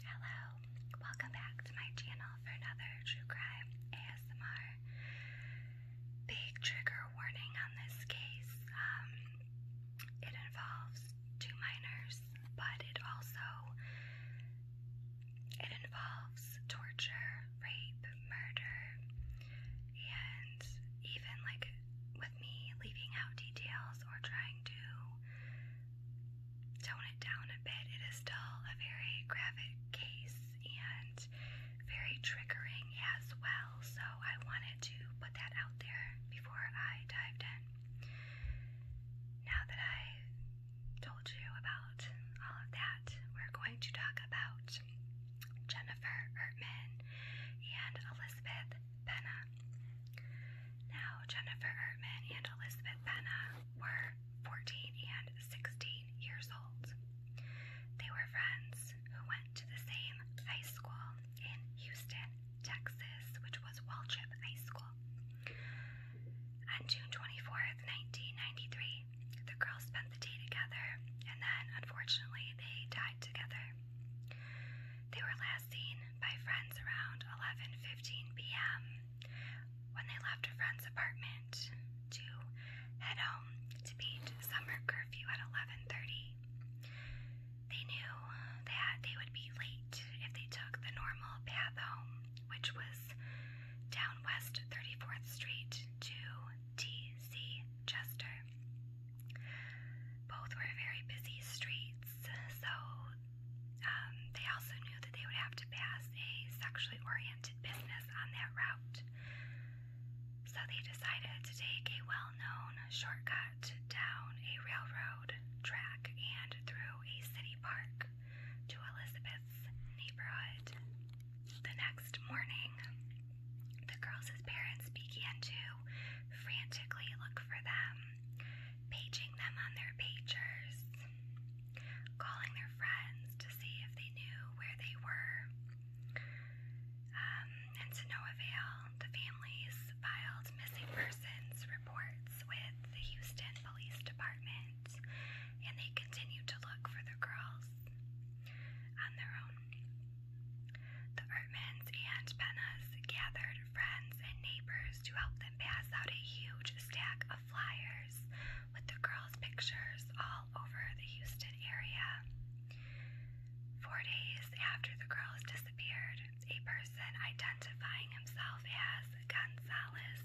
Hello, welcome back to my channel for another true crime ASMR. Big trigger warning on this case. Um, it involves two minors, but it also it involves torture, rape, murder, and even like with me leaving out details or trying to tone it down a bit. It is still a very graphic case and very triggering as well, so I wanted to put that out there before I dived in. Now that I told you about all of that, we're going to talk about Jennifer Ertman and Elizabeth Benna. Now, Jennifer Ertman and Elizabeth Benna were 14 and 16 years old. They were friends who went to the same high school in Houston, Texas, which was Waltrip High School. On June 24th, 1993, the girls spent the day together and then, unfortunately, they died together. They were last seen by friends around 11:15 p.m. when they left a friend's apartment to head home to beat summer curfew at 11:30. They knew that they would be late if they took the normal path home, which was down West 34th Street to T.C. Chester. Both were very busy streets, so um, they also knew that they would have to pass a sexually oriented business on that route. So they decided to take a well known shortcut down a railroad track and through a city park to Elizabeth's neighborhood. The next morning, the girls' parents began to frantically look for them paging them on their pagers, calling their friends to see if they knew where they were. Um, and to no avail, the families filed missing persons reports with the Houston Police Department, and they continued to look for the girls on their own. The Ertmans and Pennas gathered gathered friends and neighbors to help them pass out a huge stack of flyers with the girls' pictures all over the Houston area. Four days after the girls disappeared, a person identifying himself as Gonzalez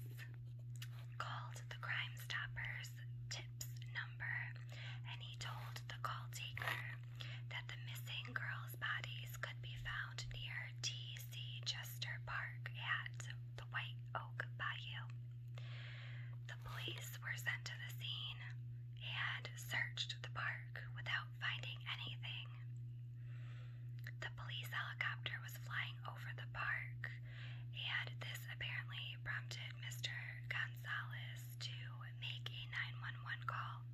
called the Crime Stoppers tips number and he told the call taker that the missing girls' bodies could be found near T. C. Chester Park at the White Oak Bayou. The police were sent to the scene and searched the park without finding anything. The police helicopter was flying over the park, and this apparently prompted Mr. Gonzalez to make a 911 call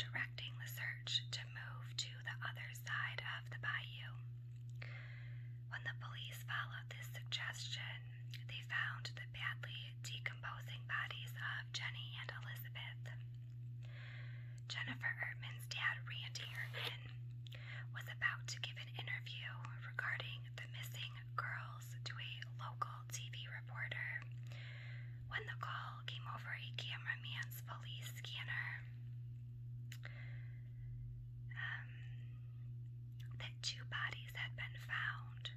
directing the search to move to the other side of the bayou. When the police followed this suggestion, they found the badly decomposing bodies of Jenny and Elizabeth. Jennifer Erdman's dad, Randy Erdman, was about to give an interview regarding the missing girls to a local TV reporter when the call came over a cameraman's police scanner um, that two bodies had been found.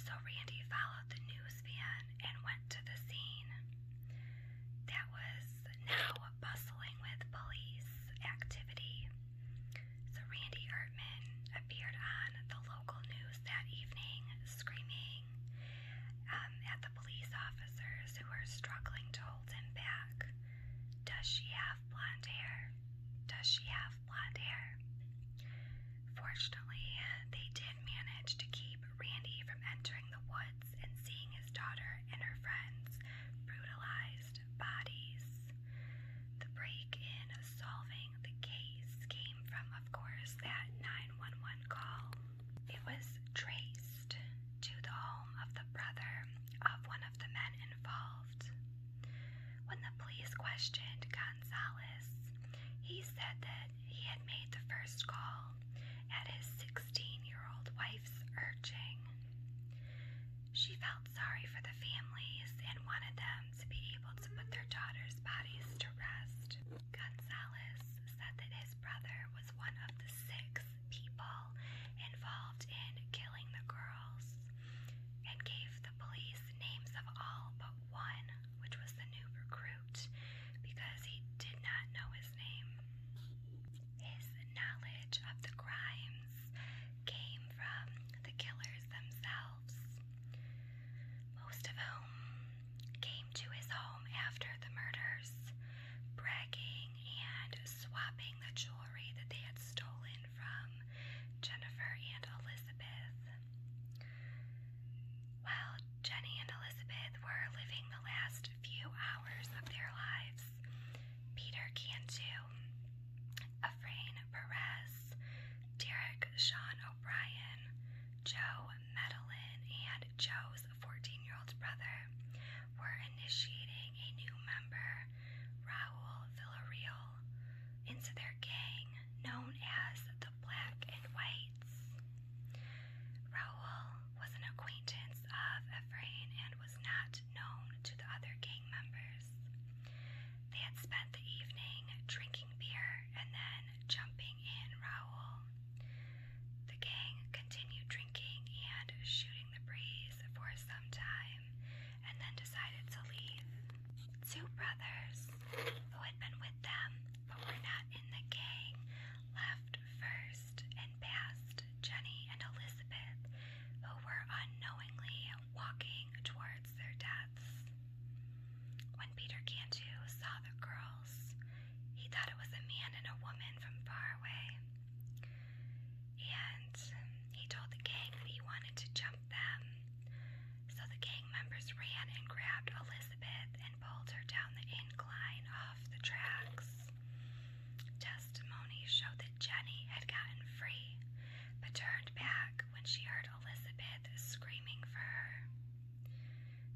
So Randy followed the news van and went to the scene that was now bustling with police activity. So Randy Ertman appeared on the local news that evening screaming, um, at the police officers who are struggling to hold him back. Does she have blonde hair? Does she have blonde hair? Fortunately, they did manage to keep Randy from entering the woods and seeing his daughter and her friends brutalized bodies. The break in solving the case came from, of course, that 911 call. It was traced to the home of the brother of one of the men involved. When the police questioned Gonzalez, he said that he had made the first call at his 16 year old wife's urging. She felt sorry for the families and wanted them to be able to put their daughters' bodies to rest. Gonzalez said that his brother was one of the six people involved in killing the girls and gave the police names of all but one, which was the new recruit, because he did not know his name. His knowledge of the crimes came from the killers themselves, most of whom came to his home after the murders, bragging and swapping the jewelry that they had stolen from Jennifer and Elizabeth. While Jenny and Elizabeth were living the last few hours of their lives, Peter Cantu, Efrain Perez, Derek Sean O'Brien, Joe Medellin, and Joe's 14-year-old brother, were initiating a new member, Raul Villarreal, into their gang known as the Black and Whites. Raul was an acquaintance of Efrain and was not known to the other gang members. They had spent the evening drinking beer and then jumping in Raul. The gang continued drinking and shooting the breeze for some time and then decided to leave. Two brothers who had been with them but were not in the gang left first and passed Jenny and Elizabeth, who were unknowingly walking towards their deaths. When Peter Cantu saw the girl he thought it was a man and a woman from far away. And he told the gang that he wanted to jump them. So the gang members ran and grabbed Elizabeth and pulled her down the incline off the tracks. Testimony showed that Jenny had gotten free, but turned back when she heard Elizabeth screaming for her.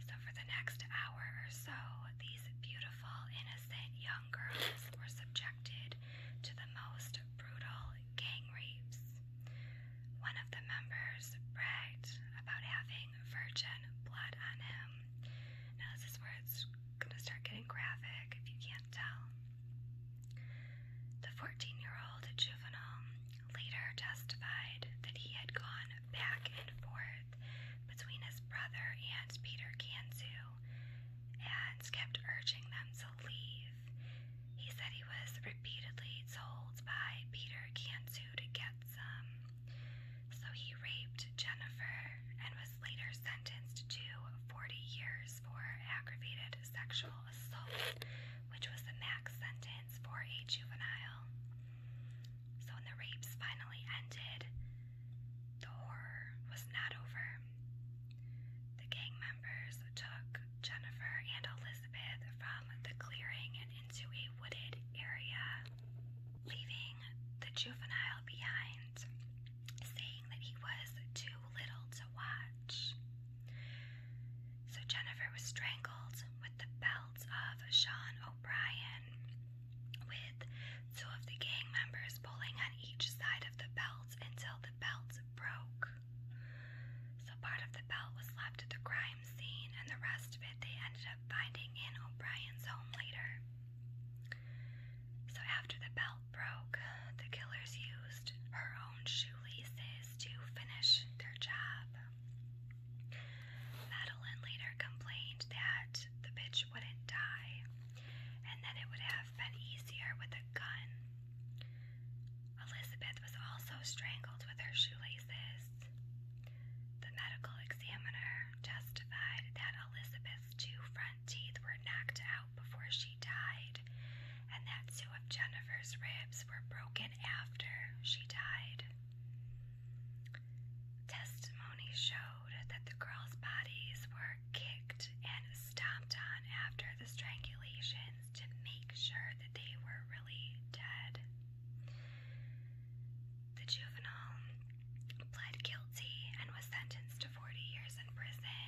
So, for the next hour or so, these beautiful, innocent young girls were subjected to the most brutal gang rapes. One of the members bragged about having virgin blood on him. Now, this is where it's going to start getting graphic if you can't tell. The 14 year old juvenile later testified that he had gone back and forth forth between his brother and Peter Kanzu and kept urging them to leave. He said he was repeatedly told by Peter Kanzu to get some. So he raped Jennifer and was later sentenced to 40 years for aggravated sexual assault, which was the max sentence for a juvenile. So when the rapes finally ended, the horror was not over. The gang members took Jennifer and Elizabeth from the clearing and into a wooded area, leaving the juvenile behind, saying that he was too little to watch. So Jennifer was strangled with the belt of Sean O'Brien with two of the gang members pulling on each side of the belt until the belt broke. So part of the belt was left at the crime scene, and the rest of it they ended up finding in O'Brien's home later. So after the belt broke, the killers used her own shoelaces to finish their job. Madeline later complained that the bitch wouldn't die and that it would have been easier with a gun. Elizabeth was also strangled with her shoelaces. The medical examiner testified that Elizabeth's two front teeth were knocked out before she died, and that two of Jennifer's ribs were broken after she died. Testimony showed that the girls' bodies were kicked and stomped on after the strangulations to make sure that they were really dead. The juvenile pled guilty and was sentenced to 40 years in prison,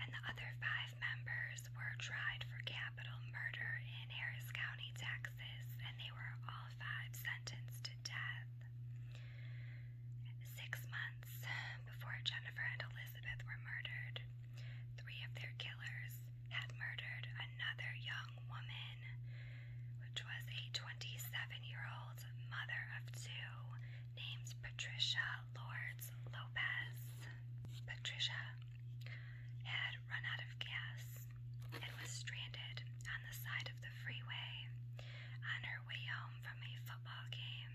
and the other five members were tried for capital murder in Harris County, Texas, and they were all qualified sentenced to death. Six months before Jennifer and Elizabeth were murdered, three of their killers had murdered another young woman, which was a 27 year old mother of two named Patricia Lords Lopez. Patricia had had run out of gas and was stranded on the side of the freeway on her way home from a football game.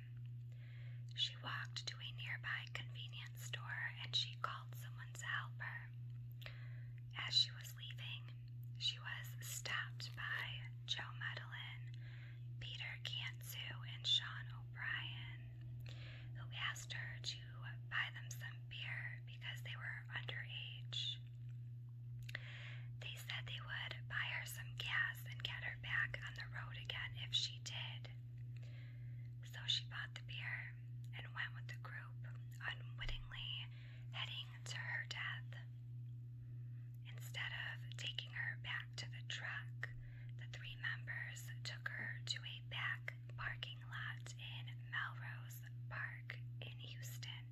She walked to a nearby convenience store and she called someone to help her. As she was leaving, she was stopped by Joe Medellin, Peter Cantu, and Sean O'Brien, who asked her to to buy them some beer because they were underage. They said they would buy her some gas and get her back on the road again if she did. So she bought the beer and went with the group, unwittingly heading to her death. Instead of taking her back to the truck, the three members took her to a back back parking lot in Melrose Park in Houston,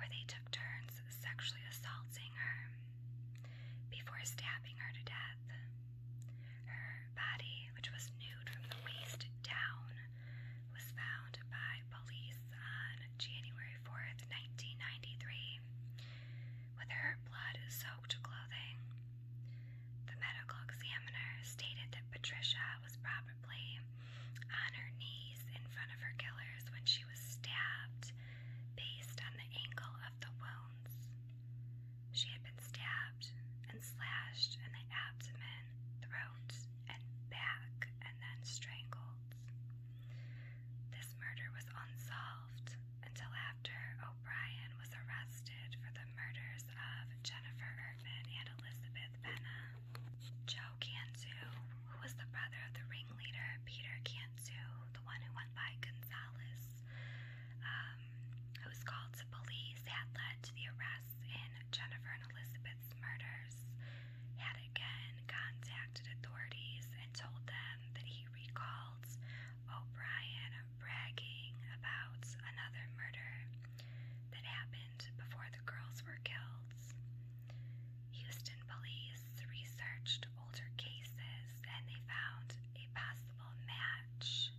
where they took turns sexually assaulting her before stabbing her to death. Her body, which was nude from the waist down, was found by police on January 4th, 1993, with her blood soaked clothing. The medical examiner stated that Patricia was brought probably on her knees in front of her killers when she was stabbed based on the angle of the wounds. She had been stabbed and slashed in the abdomen, throat, and back, and then strangled. This murder was unsolved until after O'Brien was arrested for the murders of Jennifer Bergman and Elizabeth Benna. Joe Kansu, who was the brother of the ringleader Peter Kansu, the one who went by Gonzalez, um, who was called to police, had led to the arrests in Jennifer and Elizabeth's murders, had again contacted authorities and told them that he recalled O'Brien bragging about another murder that happened before the girls were killed. Houston police researched older cases and they found a possible match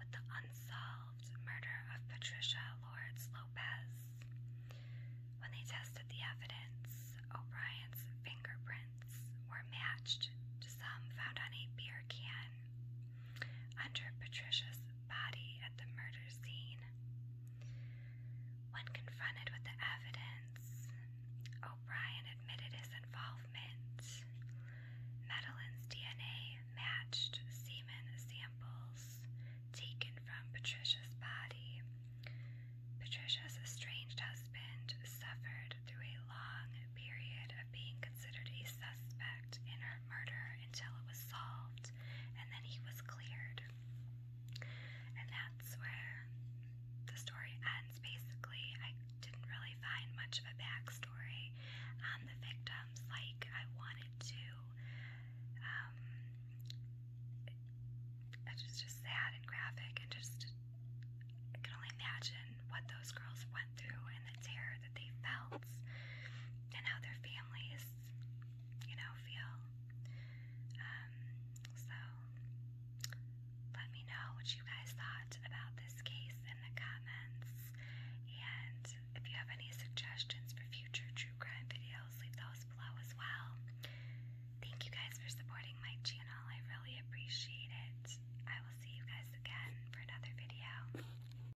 with the unsolved murder of Patricia Lords Lopez. When they tested the evidence, O'Brien's fingerprints were matched to some found on a beer can under Patricia's body at the murder scene. When confronted with the evidence, O'Brien admitted his involvement. Madeline's DNA matched semen samples taken from Patricia's body. Patricia's estranged husband suffered through a long period of being considered a suspect in her murder until it was solved out, and then he was cleared. And that's where the story ends. Basically, I didn't really find much of a backstory on the victims. Like I wanted to. Um, it's just sad and graphic, and just I can only imagine what those girls went through and the terror they felt and how their families, you know, feel. Um, so let me know what you guys thought about this case in the comments. And if you have any suggestions for future true crime videos, leave those below as well. Thank you guys for supporting my channel. I really appreciate it. I will see you guys again for another video.